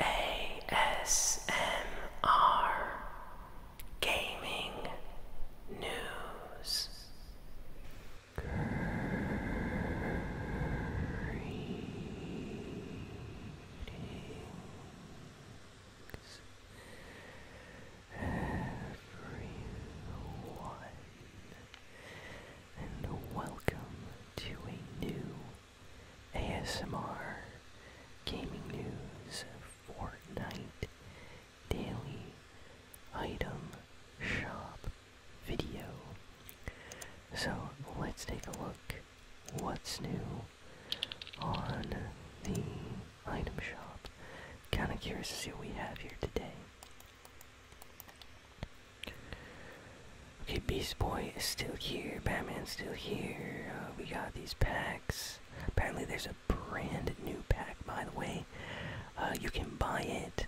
ASMR Gaming News everyone, and welcome to a new ASMR Gaming News Fortnite Daily Item Shop video. So let's take a look what's new on the item shop. Kinda curious to see what we have here today. Okay, Beast Boy is still here, Batman's still here, uh, we got these packs. Apparently there's a brand new pack, by the way. Uh, you can buy it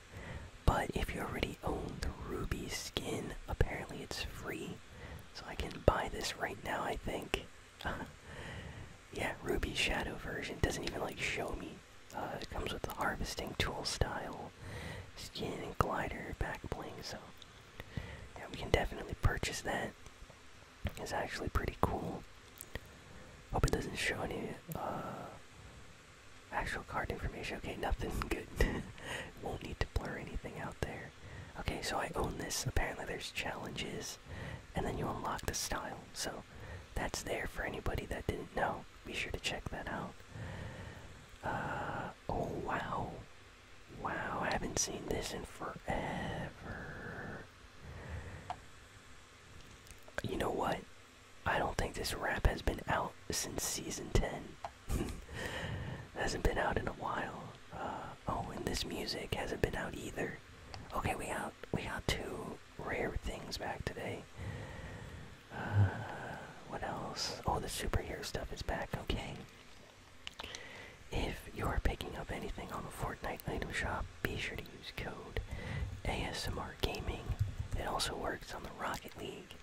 but if you already own the ruby skin, apparently it's free. So I can buy this right now, I think. yeah, ruby shadow version. Doesn't even like show me. Uh, it comes with the harvesting tool style skin and glider back bling. So yeah, we can definitely purchase that. It's actually pretty cool. Hope it doesn't show any uh, Actual card information. Okay, nothing good. Won't need to blur anything out there. Okay, so I own this. Apparently, there's challenges, and then you unlock the style. So that's there for anybody that didn't know. Be sure to check that out. Uh, oh wow, wow! I haven't seen this in forever. You know what? I don't think this rap has been out since season 10. hasn't been out in a while. Uh, oh, and this music hasn't been out either. Okay, we got we got two rare things back today. Uh, what else? Oh, the superhero stuff is back. Okay. If you're picking up anything on the Fortnite item shop, be sure to use code ASMR Gaming. It also works on the Rocket League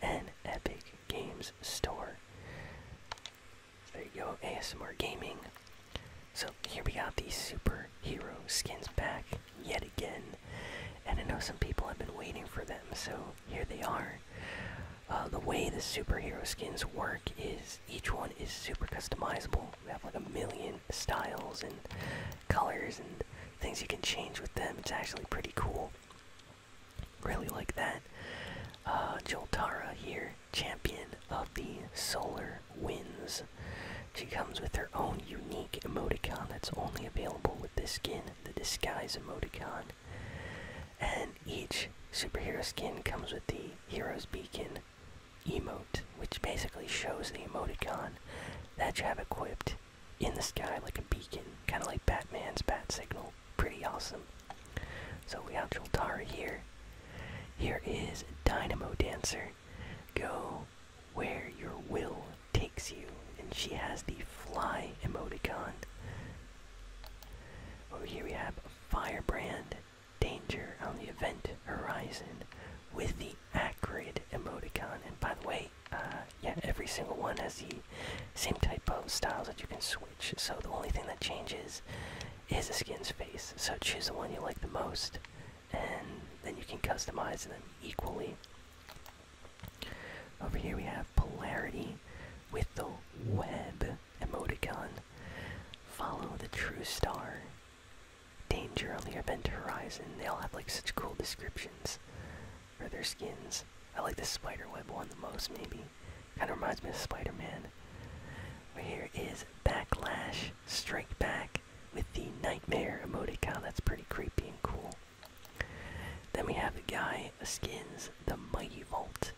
and Epic Games Store. there you go, ASMR Gaming. So here we got these superhero skins back yet again. And I know some people have been waiting for them, so here they are. Uh, the way the superhero skins work is each one is super customizable we have like a million styles and colors and things you can change with them. It's actually pretty cool. Really like that. Uh, Joltara here, champion of the Solar Winds. She comes with her own unique emoticon that's only available with this skin, the Disguise emoticon. And each superhero skin comes with the Hero's Beacon emote, which basically shows the emoticon that you have equipped in the sky like a beacon, kind of like Batman's bat signal. Pretty awesome. So we have Joltara here. Here is Dynamo Dancer. Go where your will takes you. And she has the fly emoticon. Over here we have Firebrand Danger on the event horizon with the the acrid emoticon. And by the way, uh, yeah, every single one has the same type of styles that you can switch. So the only thing that changes is the skin's face. So choose the one you like the most, and then you can customize them equally. Over here we have polarity with the web emoticon. Follow the true star Danger on the Event Horizon. They all have like such cool descriptions for their skins. I like the spiderweb one the most, maybe. Kind of reminds me of Spider Man. Right here is Backlash Strike Back with the Nightmare emoticon. That's pretty creepy and cool. Then we have the guy skins the Mighty Volt,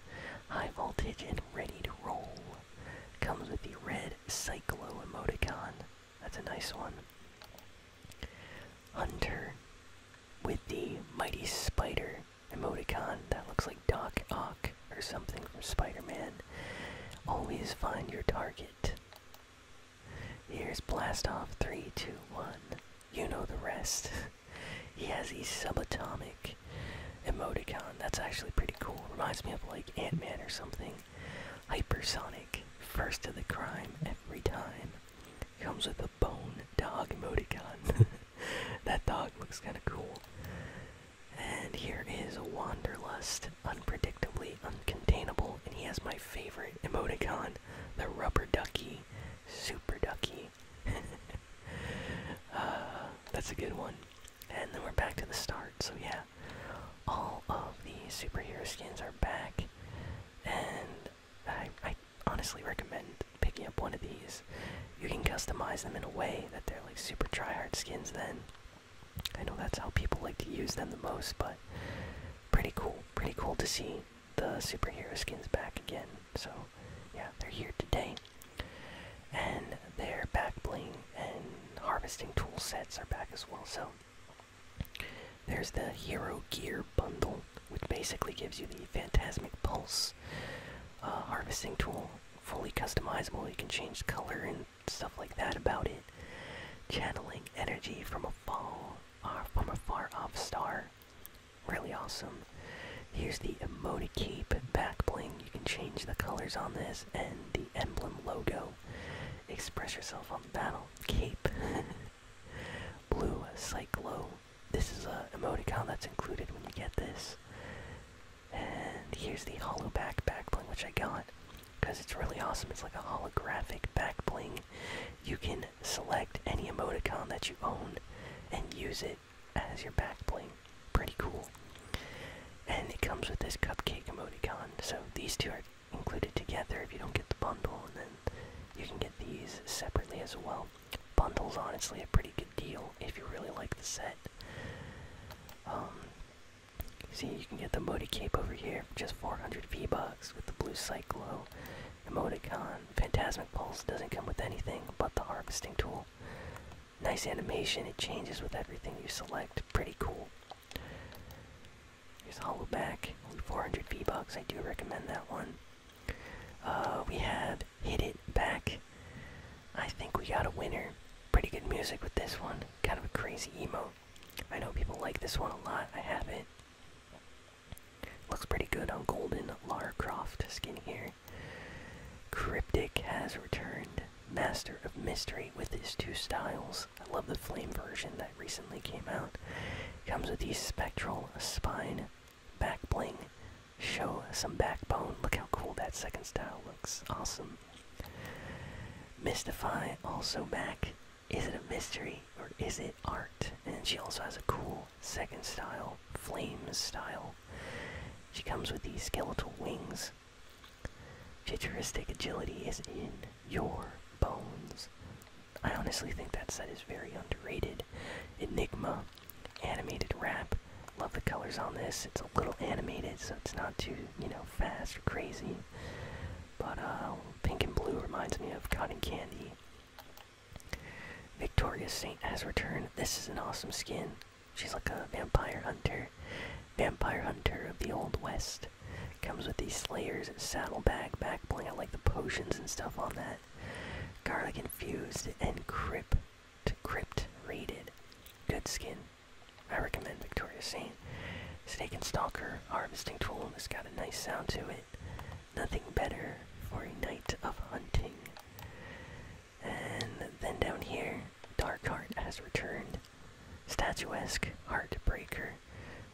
High Voltage and Ready to Roll. Comes with the red Cyclo emoticon. That's a nice one. Hunter with the mighty spider emoticon. That looks like Doc Ock or something from Spider Man. Always find your target. Here's Blast Off 3, You know the rest. he has a subatomic emoticon. That's actually pretty cool. Reminds me of like Ant Man or something. Hypersonic, first to the crime every time. Comes with a bone dog emoticon. that dog looks kind of cool. And here is Wanderlust, unpredictably uncontainable, and he has my favorite emoticon, the rubber ducky, super ducky. Uh, that's a good one. And then we're back to the start, so yeah, all of the superhero skins are back, and I, I honestly recommend picking up one of these. You can customize them in a way that they're like super tryhard skins. Then I know that's how people like to use them the most, but pretty cool, pretty cool to see the superhero skins back again. So yeah, they're here today and their back bling and harvesting tool sets are back as well. So there's the Hero Gear bundle, which basically gives you the Phantasmic Pulse uh, harvesting tool, fully customizable. You can change color and stuff like that about it. Channeling energy from a fall, uh, from a far off star, really awesome. Here's the Emoticape back bling you can change the colors on this and the emblem logo. Express yourself on battle cape. Blue Cyclo. This is an emoticon that's included when you get this. And here's the hollow back back bling, which I got because it's really awesome. It's like a holographic back bling. You can select any emoticon that you own and use it as your back bling pretty cool. And it comes with this cupcake emoticon, so these two are included together if you don't get the bundle, and then you can get these separately as well. Bundle's honestly a pretty good deal if you really like the set. Um, see, you can get the Modi Cape over here for just 400 V-Bucks with the blue Cyclo emoticon. Phantasmic Pulse doesn't come with anything but the harvesting tool. Nice animation, it changes with everything you select. Pretty cool. Here's Hollowback, 400 V-Bucks, I do recommend that one. Uh, we have Hit It Back. I think we got a winner. Pretty good music with this one. Kind of a crazy emo. I know people like this one a lot. I have it. Looks pretty good on Golden Lara Croft skin here. Cryptic has returned. Master of Mystery with his two styles. I love the flame version that recently came out. Comes with the spectral spine back bling. Show some backbone. Look how cool that second style looks. Awesome. Mystify also back. Is it a mystery or is it art? And she also has a cool second style, flame style. She comes with these skeletal wings, Futuristic agility is in your bones. I honestly think that set is very underrated. Enigma, animated wrap. Love the colors on this. It's a little animated, so it's not too, you know, fast or crazy. But uh, pink and blue reminds me of cotton candy. Victoria Saint has returned. This is an awesome skin. She's like a vampire hunter. Vampire hunter of the Old West. Comes with these slayers, saddlebag, back bling. like the potions and stuff on that. Garlic infused and crypt, crypt rated. Good skin. I recommend Victoria's Saint. Snake and Stalker harvesting tool. It's got a nice sound to it. Nothing better for a night of hunting. And then down here, Dark Heart has returned. Statuesque Heartbreaker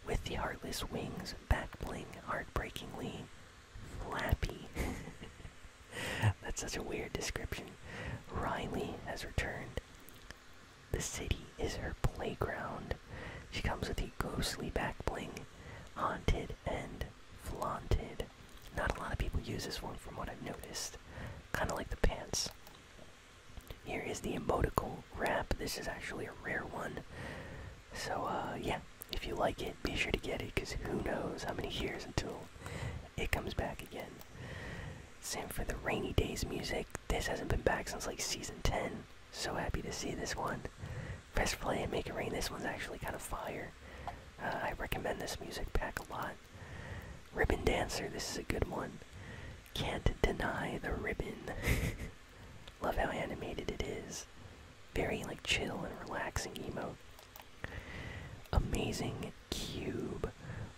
with the Heartless Wings, Back Bling, Heartbreakingly Flappy. That's such a weird description. Riley has returned. The city is her playground. She comes with a ghostly back bling, haunted and flaunted. Not a lot of people use this one from what I've noticed. Kind of like the pants. Here is the emotical wrap. This is actually a rare one. So, uh, yeah, if you like it, be sure to get it because who knows how many years until it comes back again. Same for the Rainy Days music. This hasn't been back since like season 10. So happy to see this one. Press play and make it rain. This one's actually kind of fire. Uh, I recommend this music pack a lot. Ribbon Dancer, this is a good one. Can't deny the ribbon. Love how animated it is. Very like chill and relaxing emote. Amazing cube.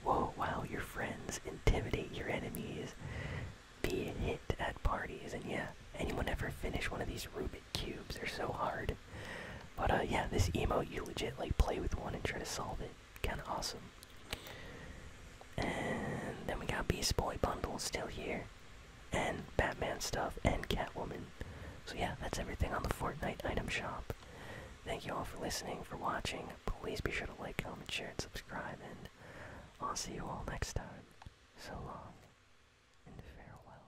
Whoa, wow, your friends intimidate your enemies. Be a hit at parties, and yeah, anyone ever finish one of these Rubik cubes? They're so hard. But uh, yeah, this emo you legit like play with one and try to solve it. Kind of awesome. And then we got Beast Boy bundle still here, and Batman stuff and Catwoman. So yeah, that's everything on the Fortnite item shop. Thank you all for listening, for watching. Please be sure to like, comment, share, and subscribe, and I'll see you all next time. So long, and farewell.